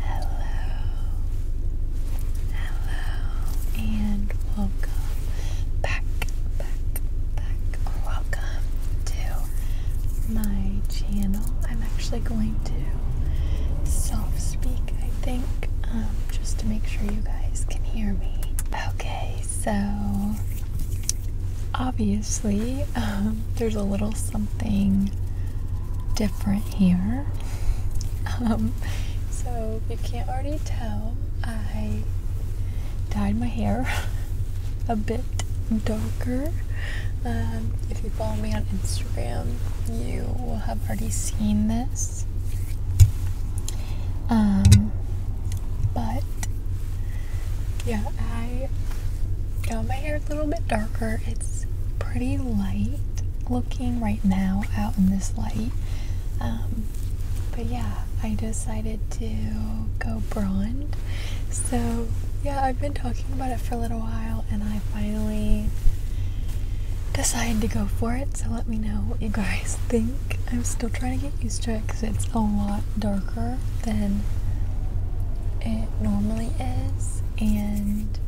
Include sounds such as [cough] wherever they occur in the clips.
Hello, hello, and welcome back, back, back. Welcome to my channel. I'm actually going to self speak, I think, um, just to make sure you guys can hear me. Okay, so obviously, [laughs] there's a little something different here. Um, so, you can't already tell, I dyed my hair [laughs] a bit darker. Um, if you follow me on Instagram, you will have already seen this. Um, but yeah, I got my hair a little bit darker. It's pretty light looking right now out in this light. Um, but yeah, I decided to go blonde. So yeah, I've been talking about it for a little while and I finally decided to go for it. So let me know what you guys [laughs] think. I'm still trying to get used to it because it's a lot darker than it normally is and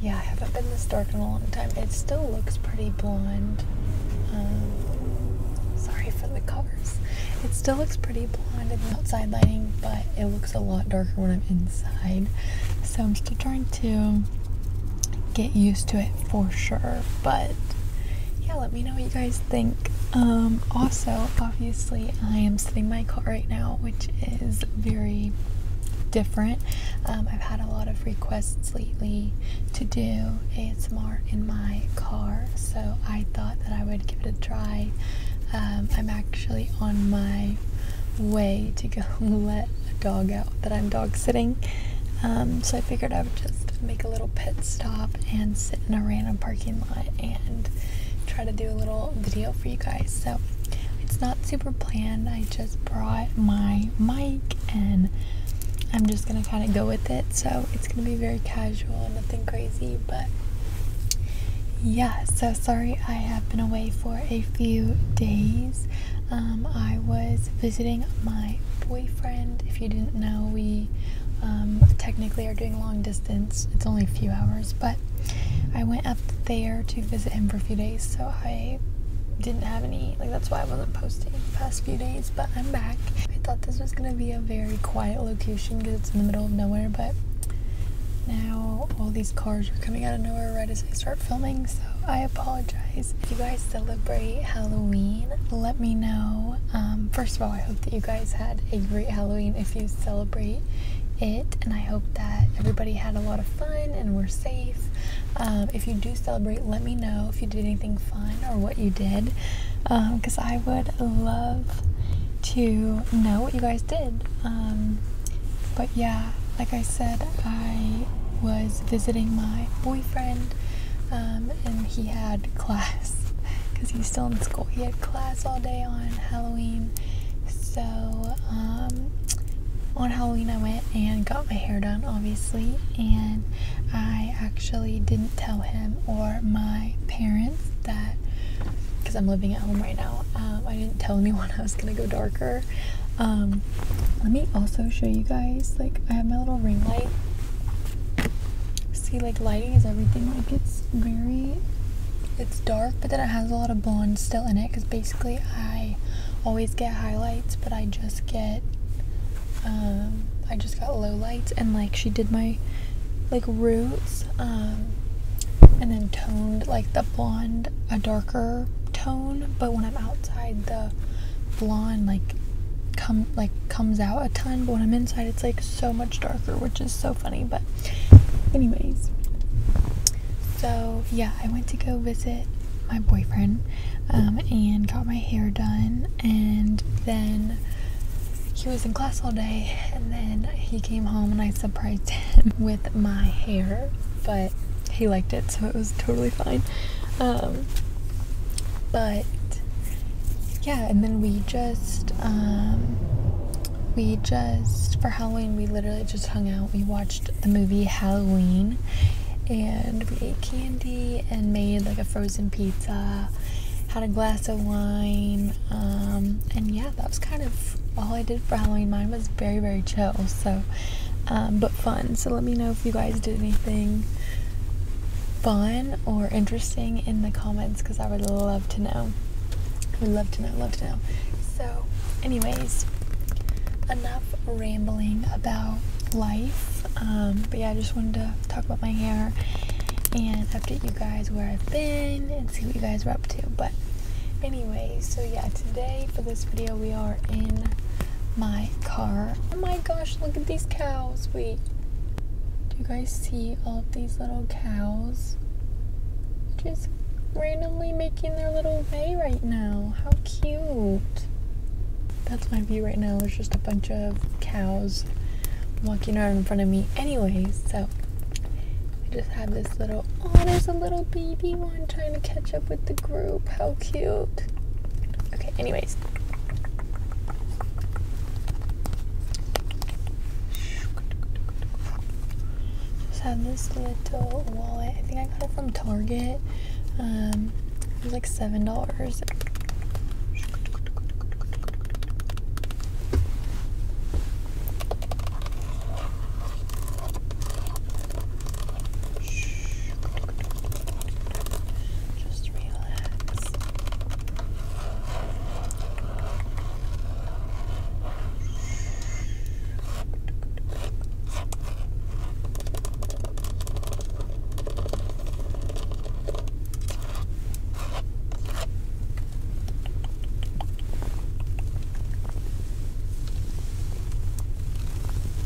yeah I haven't been this dark in a long time it still looks pretty blonde um, sorry for the colors it still looks pretty blonde in the outside lighting but it looks a lot darker when I'm inside so I'm still trying to get used to it for sure but yeah let me know what you guys think? Um, also, obviously, I am sitting in my car right now, which is very different. Um, I've had a lot of requests lately to do ASMR in my car, so I thought that I would give it a try. Um, I'm actually on my way to go [laughs] let a dog out that I'm dog sitting. so I figured I would just make a little pet stop and sit in a random parking lot and try to do a little video for you guys. So it's not super planned. I just brought my mic and I'm just gonna kind of go with it. So it's gonna be very casual, nothing crazy, but yeah. So sorry I have been away for a few days. Um, I was visiting my boyfriend. If you didn't know, we um, technically are doing long distance it's only a few hours, but I went up there to visit him for a few days, so I didn't have any like that's why I wasn't posting the past few days, but I'm back. I thought this was gonna be a very quiet location because it's in the middle of nowhere, but now all these cars are coming out of nowhere right as I start filming, so I apologize. If you guys celebrate Halloween, let me know um, first of all, I hope that you guys had a great Halloween if you celebrate it, and I hope that everybody had a lot of fun and we're safe. Um, if you do celebrate, let me know if you did anything fun or what you did, because um, I would love to know what you guys did. but yeah, like I said, I was visiting my boyfriend and he had class because he's still in school. He had class all day on Halloween. So, um, on Halloween, I went and got my hair done, obviously, and I actually didn't tell him or my parents that because I'm living at home right now. Um, I didn't tell anyone [laughs] I was gonna go darker. Um, let me also show you guys. Like, I have my little ring light See, like lighting is everything. Like it's very, it's dark, but then it has a lot of blonde still in it. Cause basically, I always get highlights, but I just get, um, I just got low lights. And like she did my, like roots, um, and then toned like the blonde a darker tone. But when I'm outside, the blonde like come like comes out a ton but when i'm inside it's like so much darker which is so funny but anyways so yeah i went to go visit my boyfriend um, and got my hair done and then he was in class all day and then he came home and i surprised [laughs] him with my hair but he liked it so it was totally fine um, but yeah, and then we just um, we just for Halloween we literally just hung out. We watched the movie Halloween, and we ate candy and made like a frozen pizza. Had a glass of wine, um, and yeah, that was kind of all I did for Halloween. Mine was very very chill, so um, but fun. So let me know if you guys did anything fun or interesting in the comments because I would love to know. I would love to know, love to know. So, anyways, enough rambling about life. Um, but yeah, I just wanted to talk about my hair and update you guys where I've been and see what you guys were up to. But, anyways, so yeah, today for this video, we are in my car. Oh my gosh, look at these cows. We. Do you guys see all of these little cows? Just randomly making their little way right now. How cute. That's my view right now. There's just a bunch of cows walking around in front of me. Anyways, so I just have this little, oh, there's a little baby one trying to catch up with the group. How cute. Okay, anyways. Just have this little wallet. I think I got it from Target. Um, it was like seven dollars. Just relax. Good.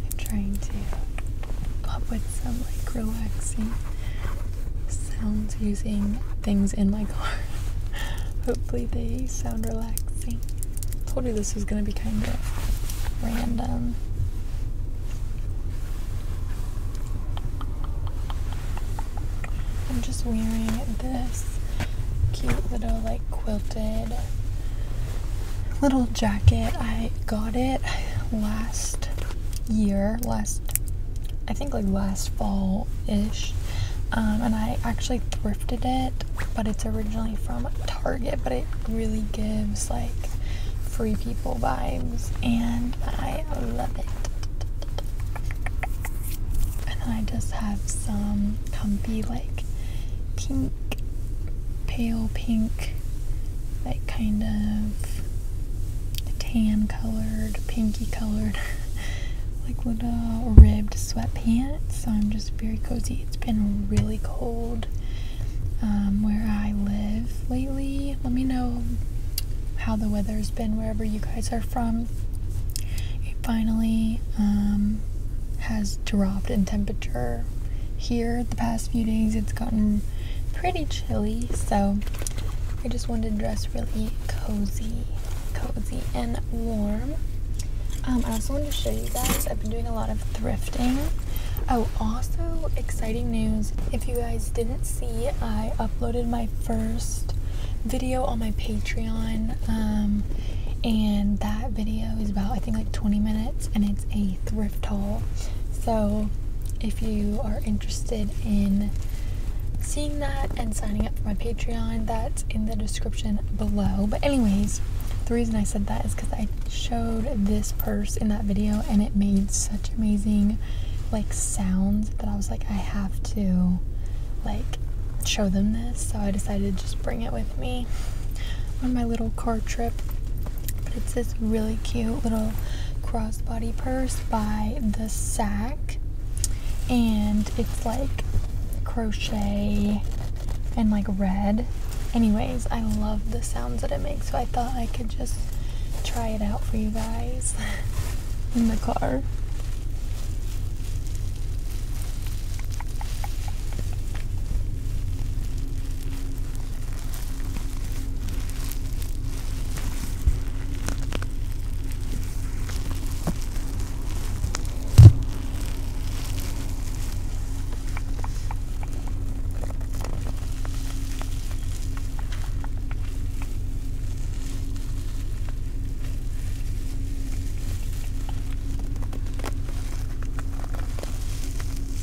I'm trying to up with some like relaxing sounds using things in my car. [laughs] Hopefully, they sound relaxing. I told you this was gonna be kind of random. I'm just wearing this cute little, like, quilted little jacket. I got it last year, last I think like last fall-ish. Um, and I actually thrifted it, but it's originally from Target, but it really gives like free people vibes, and I love it. And I just have some comfy, like pink, pale pink, like kind of tan colored, pinky colored, [laughs] like little uh, ribbed sweatpants. So I'm just very cozy. It's been really cold um, where I live lately. Let me know how the weather's been wherever you guys are from. It finally um, has dropped in temperature here the past few days. It's gotten pretty chilly, so I just wanted to dress really cozy, cozy and warm. Um, I also wanted to show you guys, I've been doing a lot of thrifting. Oh, also exciting news. If you guys didn't see, I uploaded my first video on my Patreon. Um, and that video is about, I think, like 20 minutes, and it's a thrift haul. So if you are interested in seeing that and signing up for my Patreon, that's in the description below. But, anyways, the reason I said that is because I showed this purse in that video and it made such amazing like sounds that I was like, I have to like show them this. So I decided to just bring it with me on my little car trip. it's this really cute little cross Ross Body Purse by The Sack. And it's like crochet and like red. Anyways, I love the sounds that it makes, so I thought I could just try it out for you guys [laughs] in the car.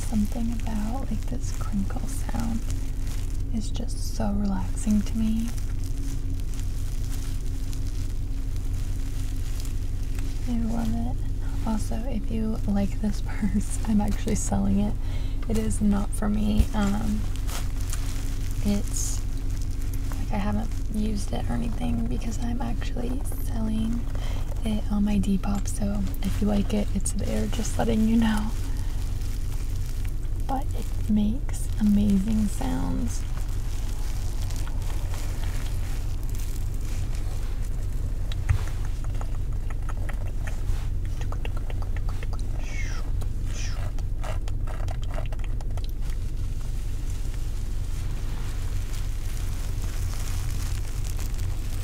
Something about like this crinkle sound is just so relaxing to me. I love it. Also, if you like this purse, [laughs] I'm actually selling it. It is not for me. Um, it's like I haven't used it or anything because I'm actually selling it on my Depop. So if you like it, it's there. Just letting you know but it makes amazing sounds.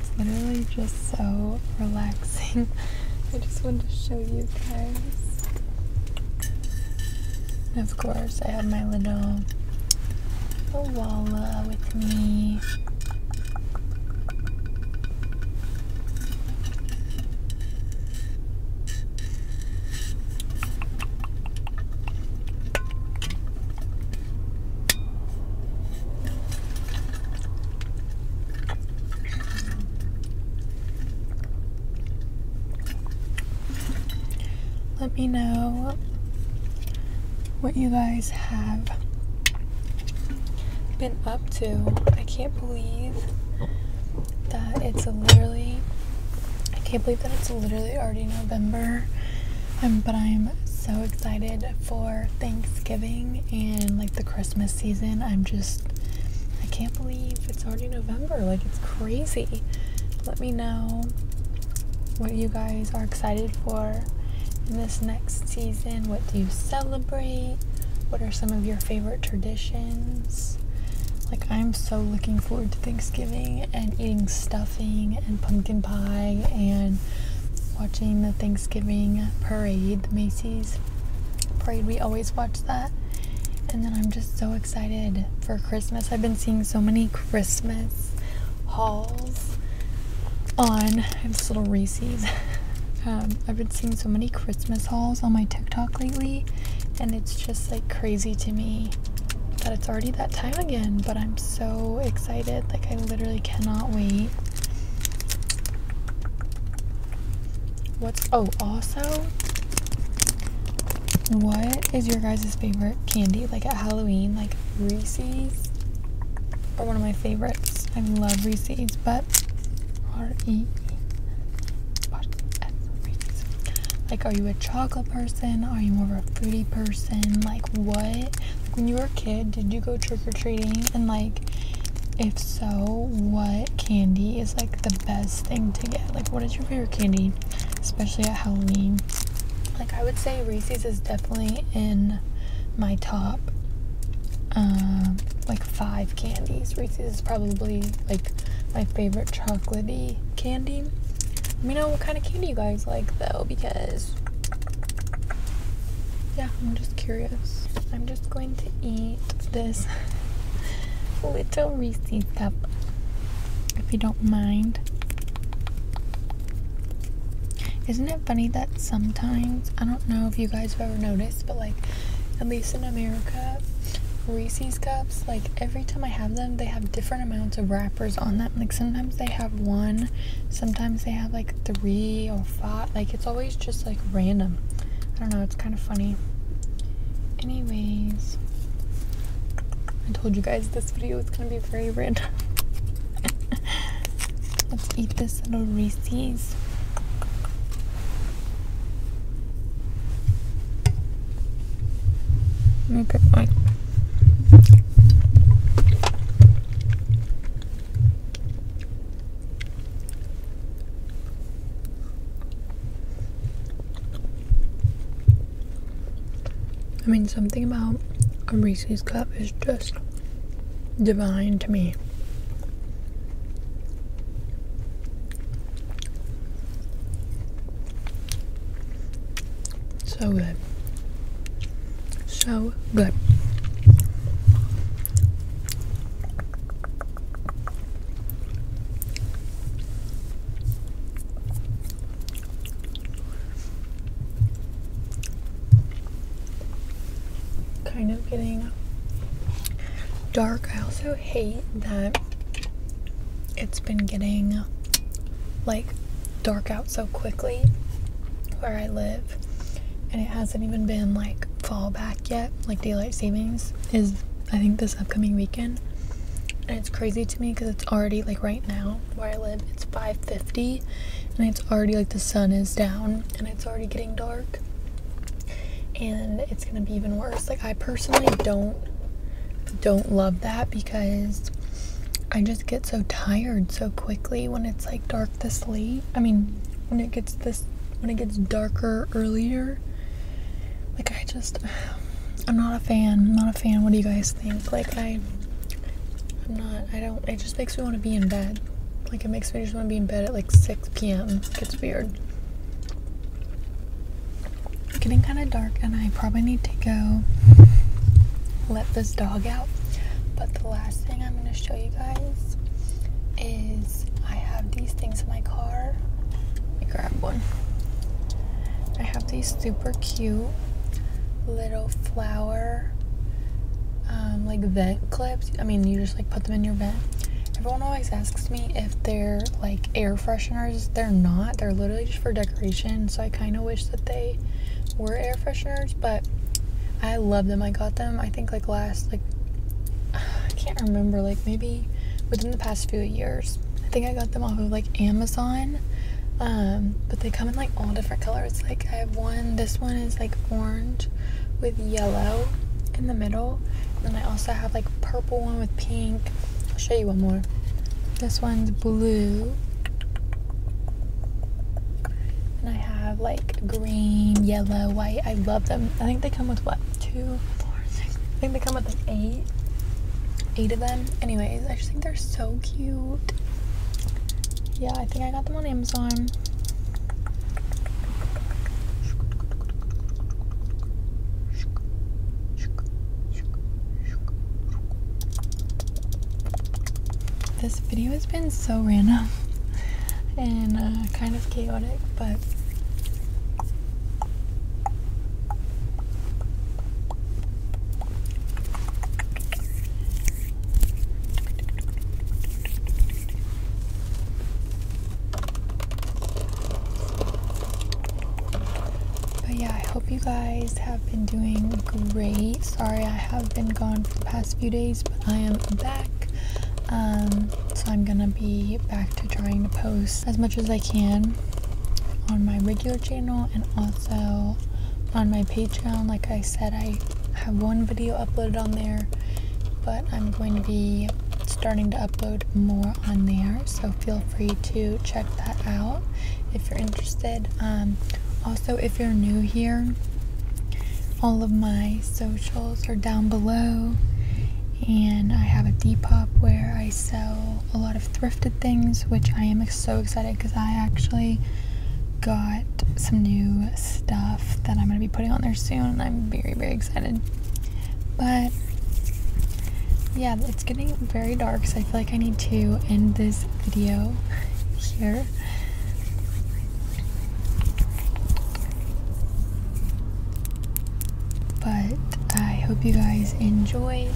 It's literally just so relaxing. [laughs] I just wanted to show you guys. of course, I have my little koala with me. Let me know what you guys have been up to. I can't believe that it's literally I can't believe that it's literally already November um, but I'm so excited for Thanksgiving and like the Christmas season. I'm just, I can't believe it's already November. Like, it's crazy. Let me know what you guys are excited for in this next season. What do you celebrate? What are some of your favorite traditions? Like, I'm so looking forward to Thanksgiving and eating stuffing and pumpkin pie and watching the Thanksgiving parade, the Macy's parade. We always watch that. And then I'm just so excited for Christmas. I've been seeing so many Christmas hauls on. I have this little Reese's. [laughs] Um, I've been seeing so many Christmas hauls on my TikTok lately, and it's just like crazy to me that it's already that time again. But I'm so excited excited. Like, I literally cannot wait. What's. Oh, also, what is your guys' favorite candy? Like, at Halloween, like Reese's are one of my favorites. I love Reese's, but R E like are you a chocolate person are you more of a fruity person like what when you were a kid, did you go trick or treating? And like, if so, what candy is like the best thing to get? Like, what is your favorite candy, especially at Halloween? Like, I would say Reese's is definitely in my top. Um, like five candies. Reese's is probably like my favorite chocolatey candy. Let me know what kind of candy you guys like though, because yeah, I'm just curious. I'm just going to eat this [laughs] little Reese's cup if you don't mind. Isn't it funny that sometimes, I don't know if you guys have ever noticed, but like, at least in America, Reese's cups, like every time I have them, they have different amounts of wrap on them. Like sometimes they have one, sometimes they have like three or five. Like it's always just like random. I don't know, it's kind of funny. Anyways, I told you guys this video is gonna be very random. [laughs] Let's eat this little Reese's. Okay, wait. I mean, something about a Reese's cup is just divine to me. So good. So good. Kind of getting dark. I also hate that it's been getting like dark out so quickly where I live, and it hasn't even been like fall back yet. Like daylight savings is, I think, this upcoming weekend, and it's crazy to me because it's already like right now where I live, it's 5:50, and it's already like the sun is down and it's already getting dark, and it's gonna be even worse. Like I personally don't don't love that because I just get so tired so quickly when it's like dark this late. I mean, when it gets this when it gets darker earlier. Like I just [sighs] I'm not a fan. I'm not a fan. What do you guys think? Like I I'm not I don't it just makes me want to be in bed. Like it makes me just want to be in bed at like 6 p.m. It gets weird. It's getting kind of dark and I probably need to go let this dog out. But the last thing I'm going to show you guys is I have these things in my car. Let me grab one. I have these super cute little flower um, like vent clips. I mean, you just like put them in your vent. Everyone always asks me if they're like air fresheners. They're not. They're literally for decoration. So I kind of wish that they were air fresheners, but I love them. I got them, I think, like last, like, [sighs] I can't remember, like maybe within the past few years. I think I got them off of like Amazon. Um, but they come in like all different colors. Like I have one, this one is like orange with yellow in the middle. And then I also have like purple one with pink I'll show you one more. This one's blue. And I have like green, yellow, white. I love them. I think they come with what? Two, four, six. I think they come with eight. Eight of them. Anyways, I just think they're so cute. Yeah, I think I got them on Amazon. This video has been so random and uh, kind of chaotic, but but yeah, I hope you guys have been doing great. Sorry, I have been gone for the past few days, but I am back. Um, so I'm gonna be back to trying to post as much as I can on my regular channel and also on my Patreon. Like I said, I have one video uploaded on there, but I'm going to be starting to upload more on there, so feel free to check that out if you're interested. Um, also, if you're new here, all of my socials are down below, and I have a Depop where I sell a lot of thrifted things, which I am so excited because I actually got some new stuff that I'm going to be putting on there soon, and I'm very, very excited. But yeah, it's getting very dark, so I feel like I need to end this video here. But I hope you guys enjoy,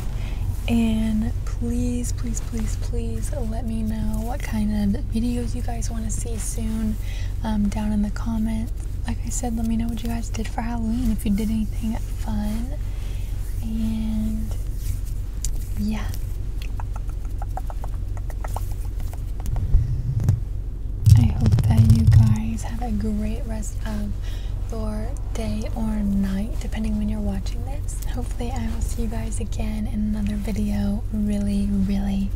and please please please please let me know what kind of videos you guys want to see soon um, down in the comments like i said let me know what you guys did for halloween if you did anything fun and yeah I hope that you guys have a great rest of your day or night depending when you're watching this hopefully I will see you guys again in another video really really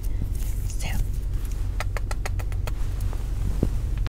soon